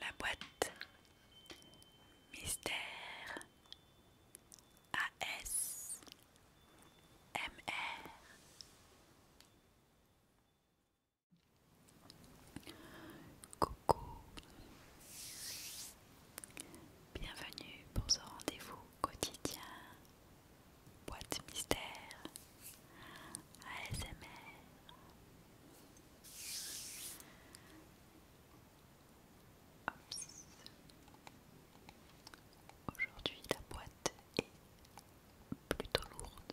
La boîte Mystère AS MR Coucou Bienvenue pour ce rendez-vous quotidien, boîte mystère, ASMR. Aujourd'hui, la boîte est plutôt lourde.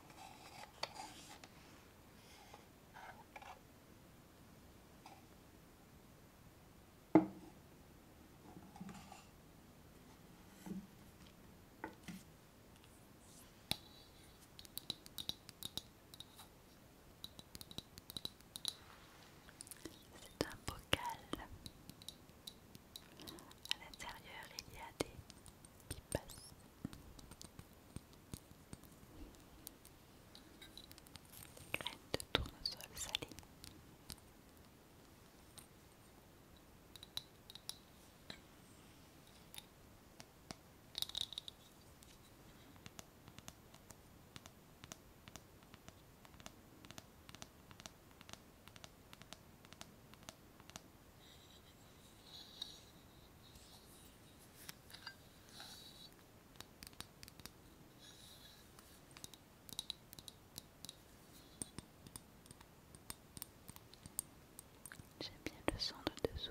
C'est un bocal à l'intérieur, il y a des pipas. Graines de tournesol salées. J'aime bien le son de dessous.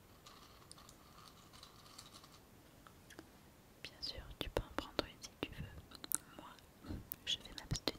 Bien sûr, tu peux en prendre une si tu veux. Moi, je vais m'abstenir.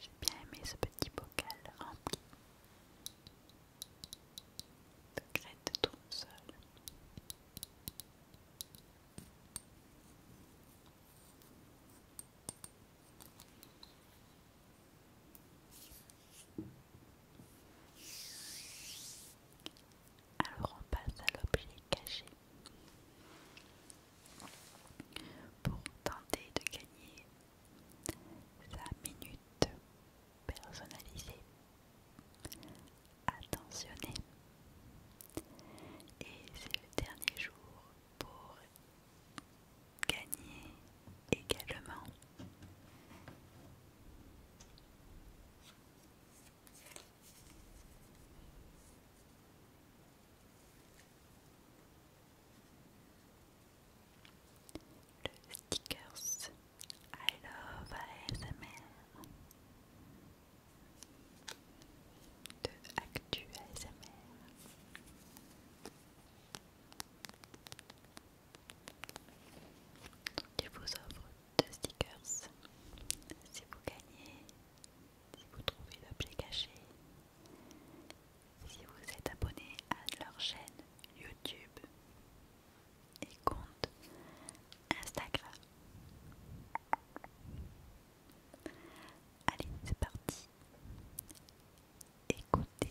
J'ai bien aimé ce petit bocal rempli de graines de tournesol. Alors on passe à l'objet caché pour tenter de gagner la minute personnalisée, attentionnée. Et c'est le dernier jour pour gagner également. Le stickers I love ASMR de Actu ASMR je vous offre deux stickers. Si vous gagnez, si vous trouvez l'objet caché, si vous êtes abonné à leur chaîne YouTube et compte Instagram. Allez, c'est parti écoutez.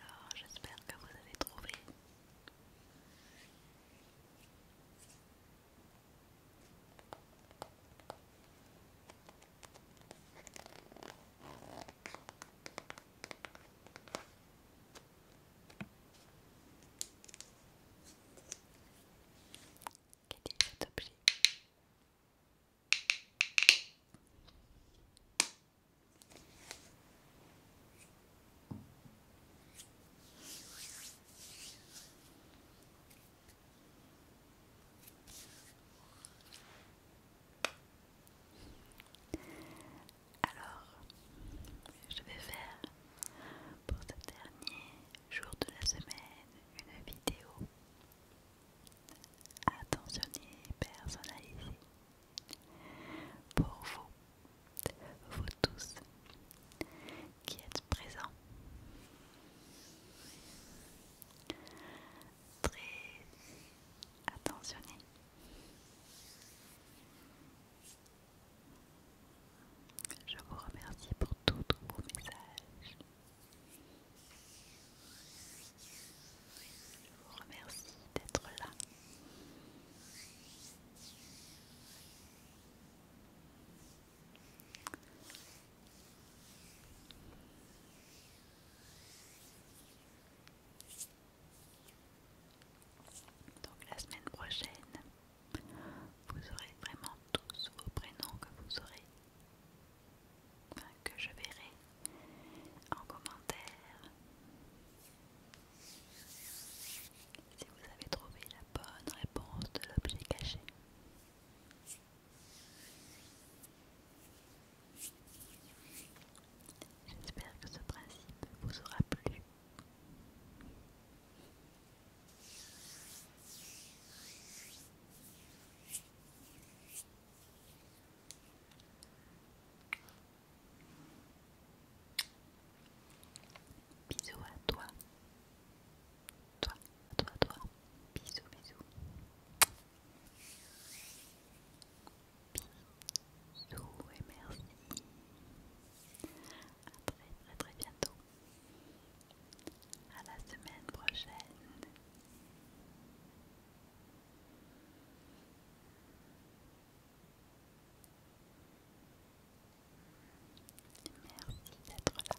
Alors j'espère que vous avez trouvé. Quel est cet objet alors, je vais faire pour ce dernier jour de la semaine une vidéo attentionné et personnalisé pour vous, vous tous qui êtes présents. Très attentionné. Je vous remercie pour tous vos messages. Je vous remercie d'être là. Donc la semaine prochaine, vous aurez vraiment tous vos prénoms que vous aurez Hein, que je verrai en commentaire. Si vous avez trouvé la bonne réponse de l'objet caché. J'espère que ce principe vous aura plu. Bisous à toi. Toi, toi, toi. Bisous, bisous. Bisous et merci. À très très très bientôt. À la semaine prochaine. Merci d'être là.